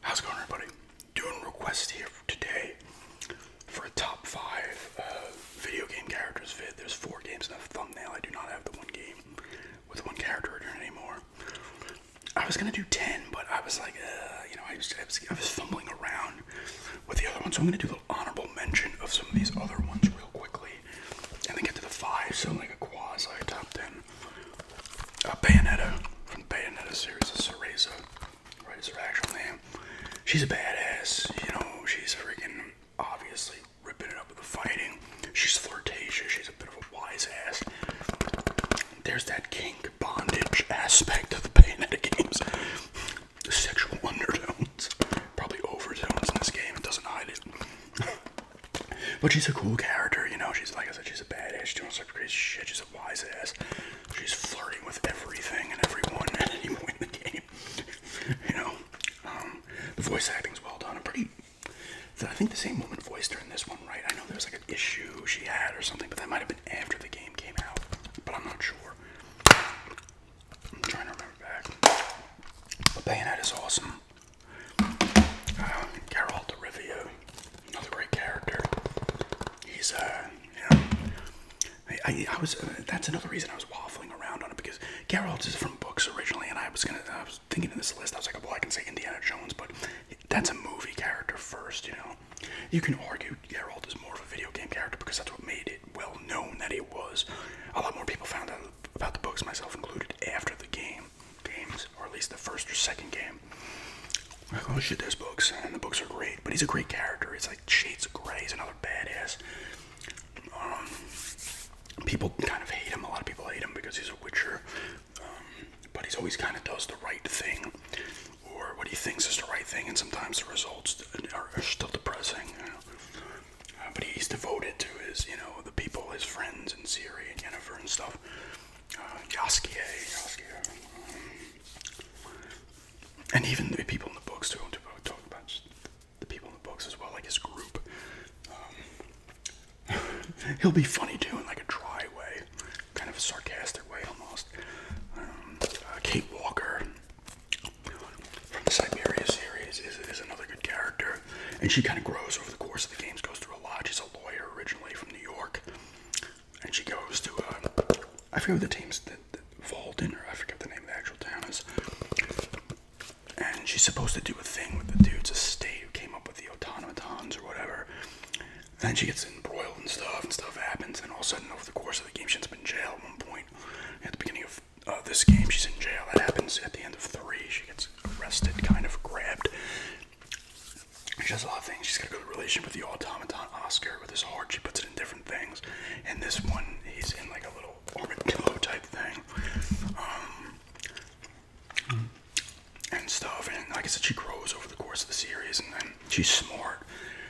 How's it going, everybody? Doing requests here today for a top five uh, video game characters vid. There's four games in the thumbnail. I do not have the one game with one character in it anymore. I was gonna do ten, but I was like, uh, you know, I was, fumbling around with the other one, so I'm gonna do an honorable mention of some of these other ones real quickly, and then get to the five. So like a quasi top ten. A Bayonetta from Bayonetta series of Cereza, right? actual name. She's a badass, you know, she's freaking obviously ripping it up with the fighting. She's flirtatious, she's a bit of a wise ass. There's that kink bondage aspect of the Bayonetta games. The sexual undertones. Probably overtones in this game, it doesn't hide it. But she's a cool character, you know. She's like I said, she's a badass. She's doing some crazy shit. She's a wise ass. She's flirting with everything and everyone at any point in the game. you know, um, the voice acting's well done. I'm pretty. I think the same woman voiced her in this one, right? I know there's like an issue she had or something, but that might have been after the game came out. But I'm not sure. I'm trying to remember back. But Bayonetta is awesome. Um, Geralt de Rivia, another great character. He's, a uh, you I, I, was. Uh, that's another reason I was waffling around on it because Geralt is from books originally, and I was gonna. I was thinking in this list, I was like, well, I can say Indiana Jones, but that's a movie character first, you know. You can argue Geralt is more of a video game character because that's what made it well known that it was. A lot more people found out about the books, myself included, after the game games, or at least the first or second game. oh shit, there's books, and the books are great. But he's a great character. He's like Shades of Grey. He's another badass. Um, people kind of hate him. A lot of people hate him because he's a Witcher. Um, but he's always kind of does the right thing, or what he thinks is the right thing, and sometimes the results are, still depressing. Uh, but he's devoted to his, you know, the people, his friends, and Siri and Jennifer and stuff uh, um, and even the people in the books too. To talk about the people in the books as well, like his group. Um, he'll be funny too, in like a dry way, kind of a sarcastic way almost. Um, uh, Kate Walker from the Siberia series is another good character and she kind of grows over the course of the games. Goes through a lot. She's a lawyer originally from New York, and she goes to uh, I forget what the team's the, the Walden or I forget the name of the actual town is. And she's supposed to do a thing with the dude's estate who came up with the automatons or whatever. And then she gets embroiled and stuff, and stuff happens. And all of a sudden, over the course of the game, she's been in jail at one point. At the beginning of uh, this game, she's in jail. That happens at the end of three. She gets arrested, kind of grabbed. She does a lot of things. She's got a good relation with the automaton Oscar. With his heart, she puts it in different things. And this one, he's in like a little armadillo type thing. Um, and stuff. And like I said, she grows over the course of the series. And then she's smart.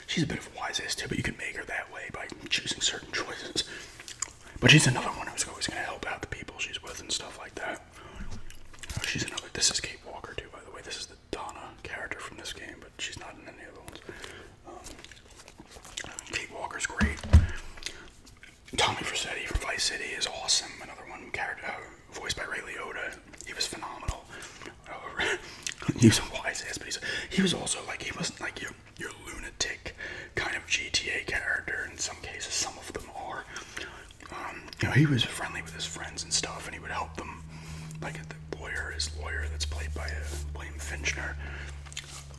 She's a bit of a wise ass too, but you can make her that way by choosing certain choices. But she's another one who's always going to help out the people she's with and stuff like that. Oh, she's another. This is Kate Walker too, by the way. This is the Donna character from this game, but she's not in any of the ones. Um, Kate Walker's great. Tommy Vercetti from Vice City is awesome. Another one character uh, voiced by Ray Liotta. He was phenomenal. Uh, he was a wise ass, but he's, he was also like he was like your your lunatic kind of GTA character. In some cases, some of them are. Um, you know, he was friendly with his friends and stuff, and he would help them. Like the lawyer, his lawyer that's played by uh, William Finchner,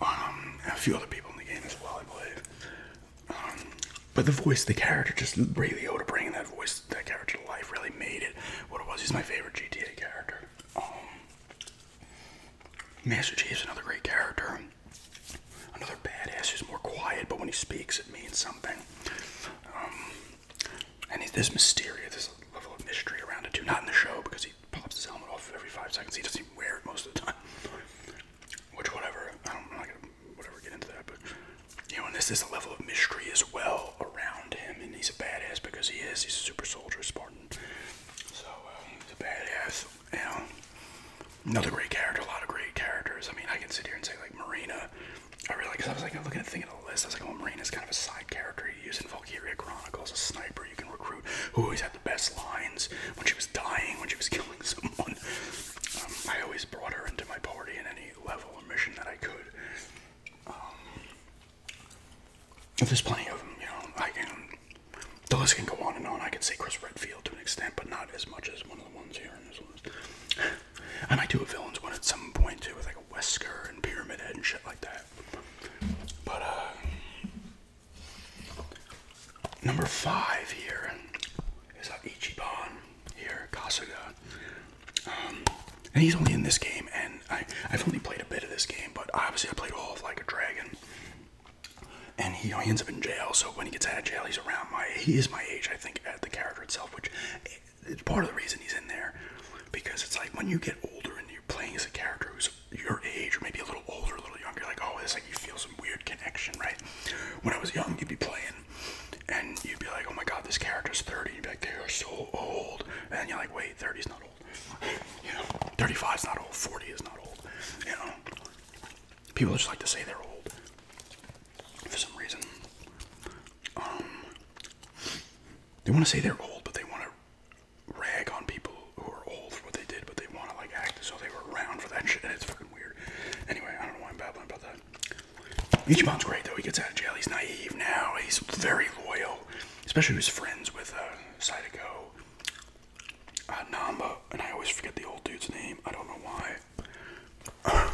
um, a few other people in the game as well, I believe. Um, but the voice, the character, just Ray Liotta bringing that voice, that character to life, really made it what it was. He's my favorite GTA character. Um, Master is another great character. Another badass who's more quiet, but when he speaks, it means something. Um, and he's this mysterious, this level of mystery around it too. Not in the show because he pops his helmet off every five seconds. He doesn't wear it most of the time. Which, whatever. I don't, I'm not i am whatever get into that, but you know, and this is a level of mystery as well around him. And he's a badass because he is. He's a super soldier, Spartan. So uh, he's a badass. You another great character, a lot of great characters. I mean, I can sit here and say like Marina. I really because I was like looking at thinking of the list. I was like, oh, Marina's kind of a side character. You use in Valkyria Chronicles, a sniper you can recruit who always had the best lines when she was dying, when she was killing someone. Um, I always brought her into my party in any level or mission that I could. Um, there's plenty of them, you know. I can the list can go on and on. I can say Chris Redfield to an extent, but not as much as one of the ones here in this list. And I do a villains one at some point too, with like a Wesker and Pyramid Head and shit like that. But uh, number five here is uh, Ichiban here, Kasuga. Um, and he's only in this game, and I, I've only played a bit of this game, but obviously I played all of Like a Dragon and he, you ends up in jail. So when he gets out of jail, he's around my he is my age, I think, at the character itself, which is part of the reason he's in there because it's like when you get older and you're playing as a character who's your age or maybe a little older, a little younger, you're like oh, it's like you feel some weird connection, right? When I was young, you'd be playing and you'd be like, oh my god, this character's 30. You'd be like, they are so old, and you're like, wait, 30's not old. You know, 35's not old, 40 is not old. You know, People just like to say they're old for some reason. Um, they want to say they're old, but they want to rag on people who are old for what they did, but they want to like act as though they were around for that shit, and it's fucking weird. Anyway, I don't know why I'm babbling about that. Ichiban's great though. He gets out of jail. He's naive now. He's very loyal, especially his friends with uh, Sadako uh, Namba, and I always forget the old dude's name. I don't know why.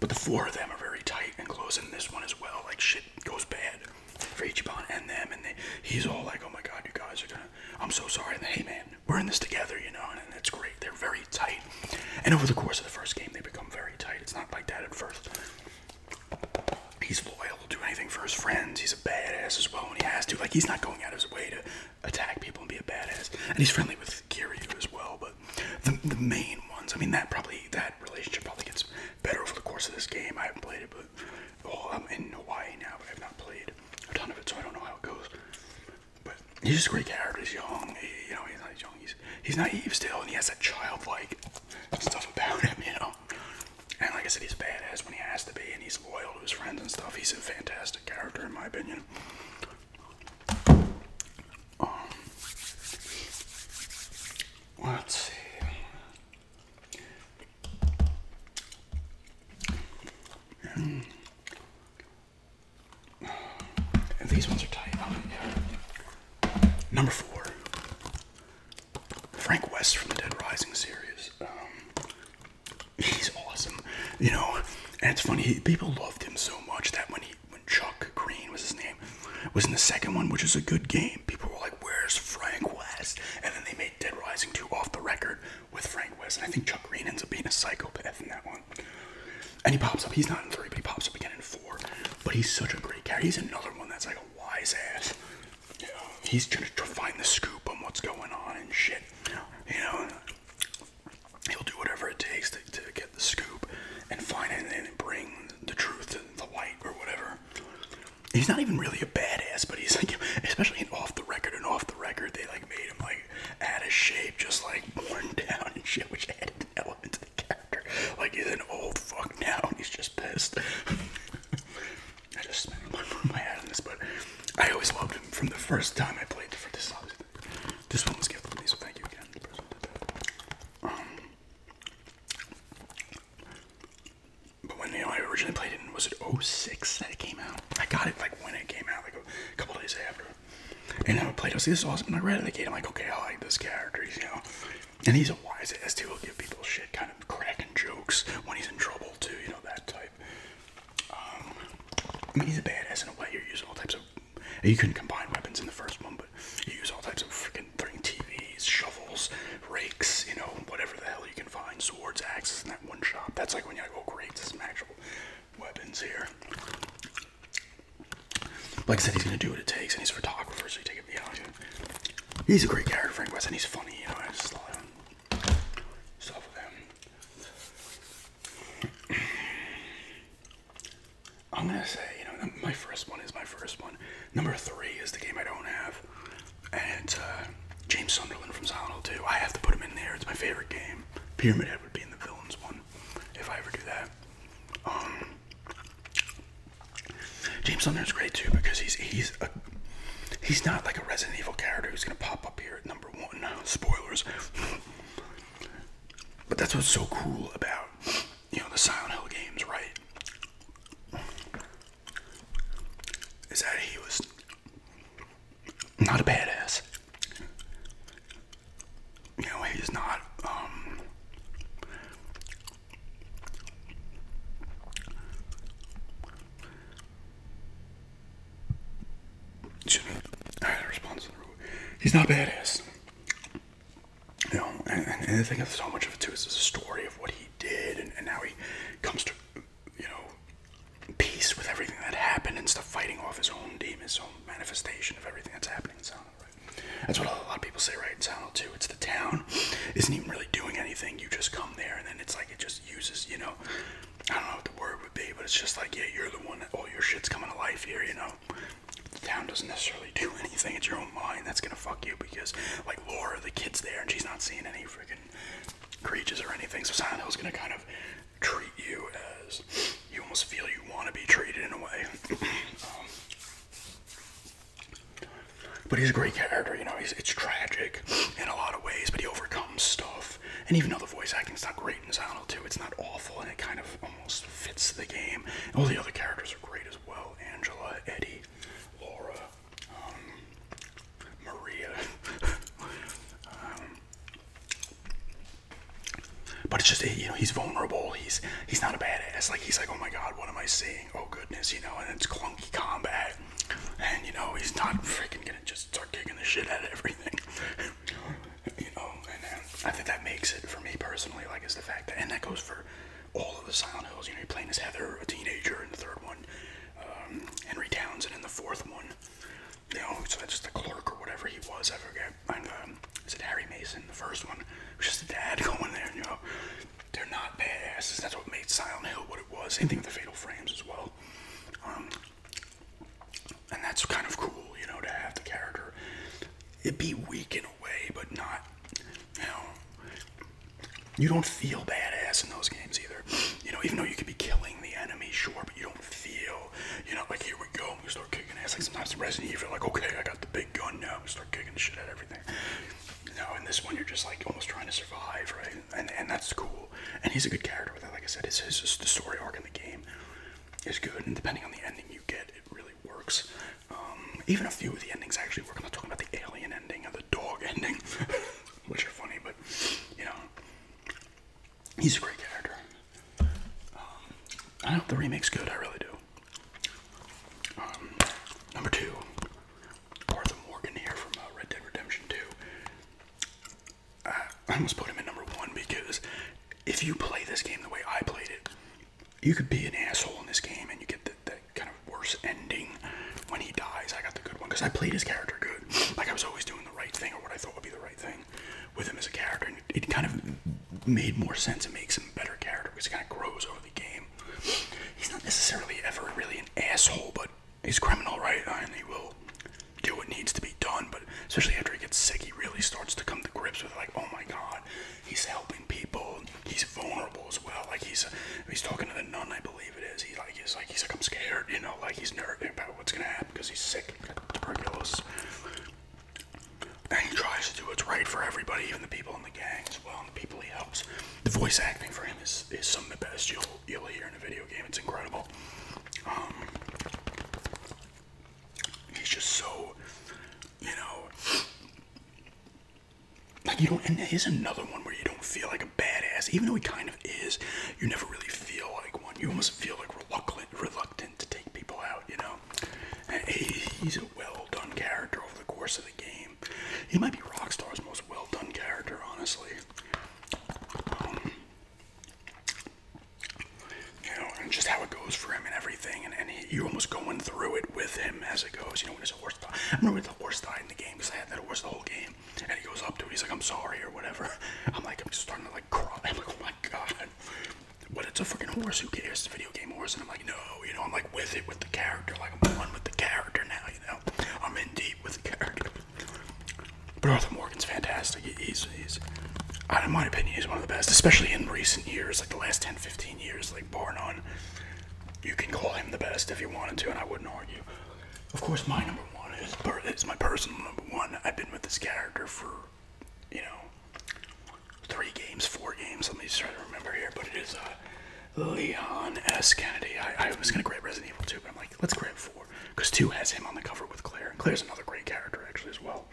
but the four of them are very tight and close, and this one as well. Like shit goes bad for Ichiban and them, and they, he's all like, "Oh my god, you guys are gonna," I'm so sorry. And hey man, we're in this together, you know, and, it's great. They're very tight, and over the course of the first game, they become very tight. It's not like that at first. He's loyal, will do anything for his friends. He's a badass as well when he has to. Like he's not going out of his way to attack people and be a badass. And he's friendly with Kiryu as well, but the, the main ones, I mean, that probably, that relationship probably gets better over the course of this game. I haven't played it, but, oh, I'm in Hawaii now, but I've not played a ton of it, so I don't know how it goes. But he's just a great character. He's young, you know, he's not young, he's, he's naive still, and he has that childlike stuff about him, you know? And like I said, he's a badass when he has to be, and he's loyal to his friends and stuff. He's a fantastic character, in my opinion. Um, let's see. Hmm. And, these ones are tight. Number four. Frank West from the Dead Rising series. Um, he's awesome, you know. And it's funny, people loved him so much that when he, when Chuck Green was his name, was in the second one, which is a good game, people were like, "Where's Frank West?" And then they made Dead Rising two off the record with Frank West, and I think Chuck Green ends up being a psychopath in that one. And he pops up. He's not in three, but he pops up again in four. But he's such a great character. He's another one that's like a wise ass. You he's trying to find the scoop on what's going on and shit. You know, he'll do whatever it takes to, to get the scoop and find it and bring the truth the light or whatever. He's not even really a badass, but he's like, especially in off the record and off the record, they like made him like out of shape, just like worn down and shit, which added an element to the character. Like he's an old fuck now, he's just pissed. I just spent my, my head on this, but I always loved him from the first time I played for this. This one was given to me, thank you again. Um, but when you know, I originally played it, was it 06 that it came out? I got it like when it came out, like a couple days after. And I played it, this is awesome. And I read the again, I'm like, okay, I like this character, he's, you know. And he's a wise ass too, he'll give people shit, kind of cracking jokes when he's in trouble too, you know, that type. Um, he's a badass in a way. You're using all types of. You couldn't combine weapons in the first one, but you use all types of freaking throwing TVs, shovels, rakes, you know, whatever the hell you can find, swords, axes in that one shot. That's like when you're like, oh, great, some actual weapons here. Like I said, he's gonna do what it takes, and he's a photographer, so he takes it beyond him. He's a great character, Frank West, and he's funny, you know. I just love stuff with him. I'm gonna say, you know, my first one is my first one. Number three is the game I don't have, and uh, James Sunderland from Silent Hill 2. I have to put him in there. It's my favorite game. Pyramid Head would be in the villains one if I ever do that. Um, James Sunderland's great too because he's he's a he's not like a Resident Evil character who's gonna pop up here at number Spoilers. but that's what's so cool about, you know, the Silent Hill games, right? Is that he was not a badass. You know, he's not, um, I had a response. He's not badass. You know, and, and, and I think so much of it too is the story of what he did and, and how he comes to, you know, peace with everything that happened and stuff, fighting off his own demons, his own manifestation of everything that's happening in Silent That's what a lot of people say, right? In Silent Hill 2, it's the town isn't even really doing anything. You just come there and then it's like it just uses, you know, I don't know what the word would be, but it's just like, yeah, you're the one that all oh, your shit's coming to life here, you know? The town doesn't necessarily do anything. It's your own mind that's gonna fuck you because, like, Laura, the kid's there and she's not seeing any freaking creatures or anything. So Silent Hill's gonna kind of treat you as you almost feel you want to be treated in a way. Um, but he's a great character, you know. it's tragic in a lot of ways, but he overcomes stuff and even though the voice acting is not great in Silent 2, it's not awful, and it kind of almost fits the game. all the other characters are great as well: Angela, Eddie, Laura, um, Maria. Um, but it's just eh, you know he's vulnerable. He's he's not a badass. Like he's like oh my god, what am I seeing? Oh goodness, you know. And it's clunky combat, and you know he's not freaking gonna just just start kicking the shit out of everything. you know, and uh, I think that makes it for me personally. Like, is the fact that, and that goes for all of the Silent Hills. You know, you're playing as Heather, a teenager, in the third one, um, Henry Townsend in the fourth one. You know, so that's just the clerk or whatever he was. I forget. And, um, is it Harry Mason? The first one, it was just a dad going there. You know, they're not badasses. That's what made Silent Hill what it was. Same thing with the Fatal Frames as well. Um, and that's kind of cool, you know, to have the character. It be weak in a way, but not, you know, you don't feel badass in those games either. You know, even though you could be killing the enemy, sure, but you don't feel, you know, like here we go, we start kicking ass. Like sometimes in Resident Evil, like okay, I got the big gun now, we start kicking shit at everything. You know, in this one, you're just like almost trying to survive, right? And and that's cool and he's a good character Like I said, his, his the story arc in the game is good, and depending on the ending you get, it really works. Um, even a few of the endings actually We're gonna talk about the alien ending and the dog ending, which are funny, but you know, he's a great character. Um, I hope the remake's good. I really do. Um, number two, Arthur Morgan here from uh, Red Dead Redemption 2. I almost put him in number one because if you play this game the way I played it, you could be an asshole in this game and you get the, kind of worse ending when he dies. I got the good one because I played his character good. Like I was always doing the right thing or what I thought would be the right thing with him as a character. And it, kind of made more sense. and makes him a better character because he kind of grows over the game. He's not necessarily ever really an asshole, but he's criminal, right? Uh, and he will do what needs to be done. But especially after he gets sick, he really starts to come to grips with like, oh my God, he's helping people. He's vulnerable as well. Like he's he's talking to the nun, I believe it is. He like he's like he's like I'm scared, you know, like he's nervous about what's gonna happen because he's sick, tuberculosis. And he tries to do what's right for everybody, even the people in the gang as well, and the people he helps. The voice acting for him is, is some of the best you'll you'll hear in a video game. It's incredible. Um, he's just so, you know, like you don't. And here's another one where you don't feel like a badass, even though he kind of is. You never really feel like one. You almost feel like reluctant, reluctant to take people out. You know, he's a well done character over the course of the game. He might be Rockstar's most well done character, honestly you know, and just how it goes for him and everything, and, you're almost going through it with him as it goes. You know, when his horse died, I remember the horse died in the game because I had that horse the whole game, and he goes up to it, he's like, "I'm sorry" or whatever. I'm like, I'm just starting to like cry. I'm like, oh my god. But it's a freaking horse. Who cares? It's a video game horse, and I'm like, no, you know, I'm like with it with the character. Like I'm one with the character now. You know, I'm in deep with the character. But Arthur Morgan's fantastic. He's, in my opinion, he's one of the best, especially in recent years, like the last 10, 15 years, like bar none. You can call him the best if you wanted to, and I wouldn't argue. Of course, my number one is, my personal number one. I've been with this character for, you know, three games, four games. Let me try to remember here, but it is a. Uh, Leon S. Kennedy. I, was gonna grab Resident Evil 2, but I'm like, let's grab 4. Because 2 has him on the cover with Claire. And Claire's another great character, actually, as well.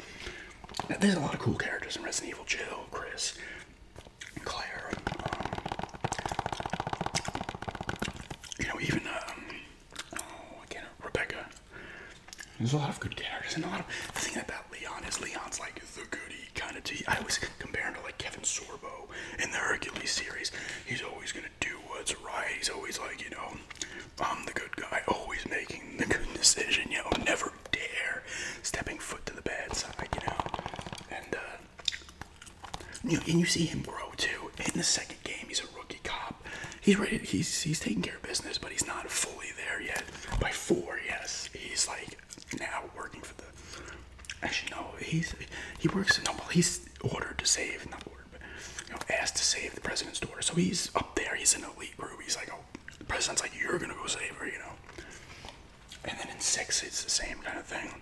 there's a lot of cool characters in Resident Evil Jill, Chris, Claire. Um, you know, even, um, oh, again, Rebecca. There's a lot of good characters. And a lot of. The thing about Leon is Leon's like the goody kind of tea. I always comparing to like Kevin Sorbo in the Hercules series. He's always gonna do what's right. He's always like, you know, I'm the good guy, always making the good decision, you know, never dare stepping foot to the bad side, you know. And uh you know, and you see him grow too. In the second game, he's a rookie cop. He's ready he's he's taking care of business, but he's not fully there yet. By four, yes, he's like now working for the Actually, no. He's he works. No, well, he's ordered to save, not ordered, but you know, asked to save the president's daughter. So he's up there. He's in an elite group. He's like, oh, the president's like, you're gonna go save her, you know. And then in six, it's the same kind of thing.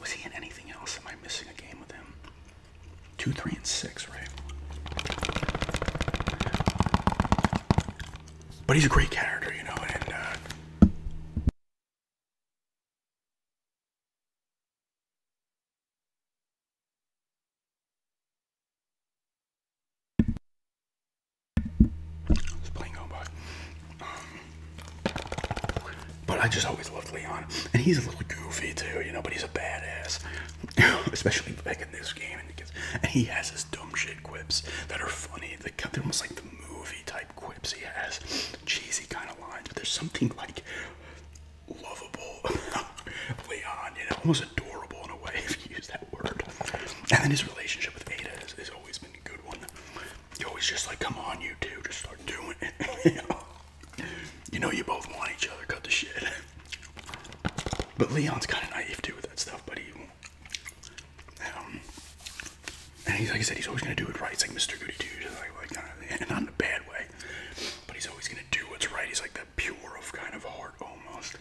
Was he in anything else? Am I missing a game with him? Two, three, and six, right? But he's a great character, you know, and. Uh, it's playing on by. but I just always loved Leon, and he's a little goofy too, you know. But he's a badass, especially back in this game. And he has his dumb shit quips that are funny. They're almost like the movie type quips. He has cheesy kind of lines, but there's something like lovable, Leon, you know, almost adorable in a way if you use that word. And then his relationship with Ada has, always been a good one. You always just like, come on, you two, just start doing it. you, know? you know, you both want each other. Cut the shit. But Leon's kind of naive too with that stuff, buddy. Um, and he's like I said, he's always gonna do it right. He's like Mr. Goody Two, like, and not in a bad way, but he's always gonna do what's right. He's like that pure of kind of heart almost.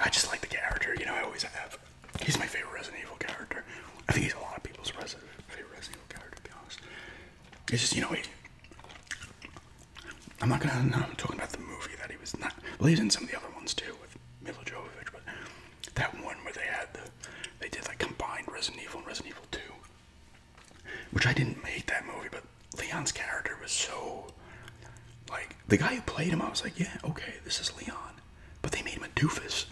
I just like the character, you know. I always have. He's my favorite Resident Evil character. I think he's a lot of people's favorite Resident Evil character, to be honest. It's just you know he. I'm not gonna. No, I'm talking about the movie that he was not. Well, he's in some of the other ones too with Mila Jovovich, but that one where they had the they did like combined Resident Evil and Resident Evil 2. Which I didn't hate that movie, but Leon's character was so like the guy who played him, I was like, yeah, okay, this is Leon. But they made him a doofus.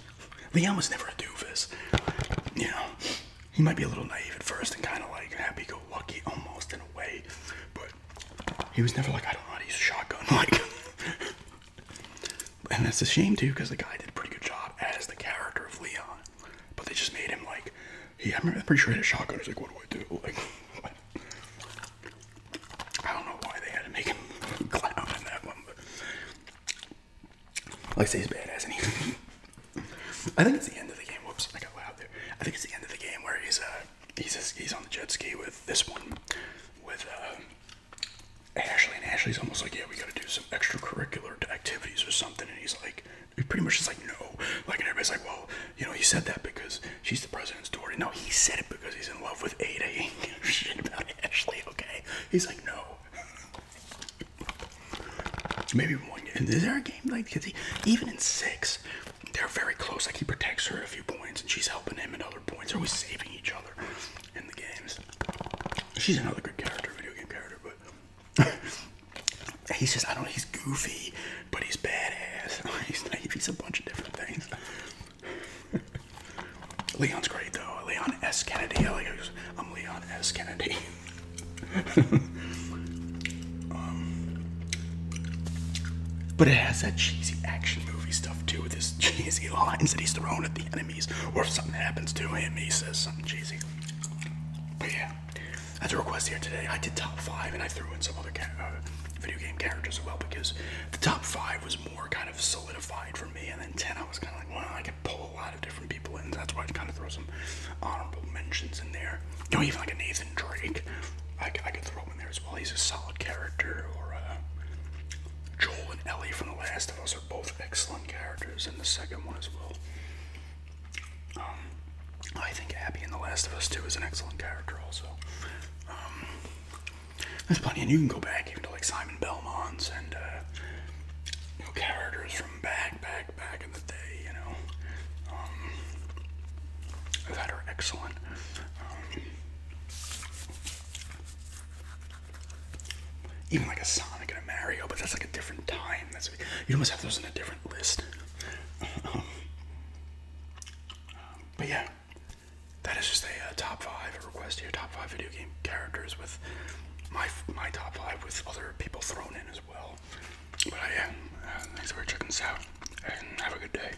Leon was never a doofus. You know, he might be a little naive at first and kind of like happy-go-lucky almost in a way, but he was never like, I don't know he's to use shotgun. Like, and that's a shame too, because the guy did a pretty good job as the character of Leon. But they just made him like, he, I am pretty sure he had a shotgun. He's like, what do I do? Like, I don't know why they had to make him clown in that one, but like, say he's badass, and he. I think it's the end of the game. Whoops, I got loud there. I think it's the end of the game where he's uh he's on the jet ski with this one, with uh Ashley and Ashley's almost like, yeah, we got to do some extracurricular activities or something. And he's like, he pretty much is like, no. Like, and everybody's like, well, you know, he said that because she's the president's daughter. No, he said it because he's in love with Ada. shit about Ashley, okay? He's like, no. Maybe one. And is there a game like? Cause he, even in six, they're very close. Like he protects her at a few points, and she's helping him at other points. are we saving each other in the games. She's another good character, video game character, but he's just I don't know, he's goofy, but he's badass. he's a bunch of different things. Leon's great though. Leon S. Kennedy. I am Leon S. Kennedy. Um, but it has that cheesy action movie stuff stuff with his cheesy lines that he's throwing at the enemies, or if something happens to him, he says something cheesy. But yeah, that's a request here today. I did top five, and I threw in some other uh, video game characters as well because the top five was more kind of solidified for me, and then ten I was kind of like, well, I could pull a lot of different people in. that's why I kind of throw some honorable mentions in there. You know, even like a Nathan Drake, I, I could throw him in there as well. He's a solid character, uh, Joel and Ellie from The Last of Us are both excellent characters and the second one as well. Um, I think Abby in The Last of Us 2 is an excellent character also. Um, there's plenty, and you can go back even to like Simon Belmont's and uh, characters from back, back, back in the day, you know, um, that are excellent. Even like a Sonic and a Mario, but that's like a different time. That's you almost have those in a different list. but yeah, that is just a uh, top five a request Your Top five video game characters with my my top five with other people thrown in as well. But yeah, uh, thanks for checking this out, and have a good day.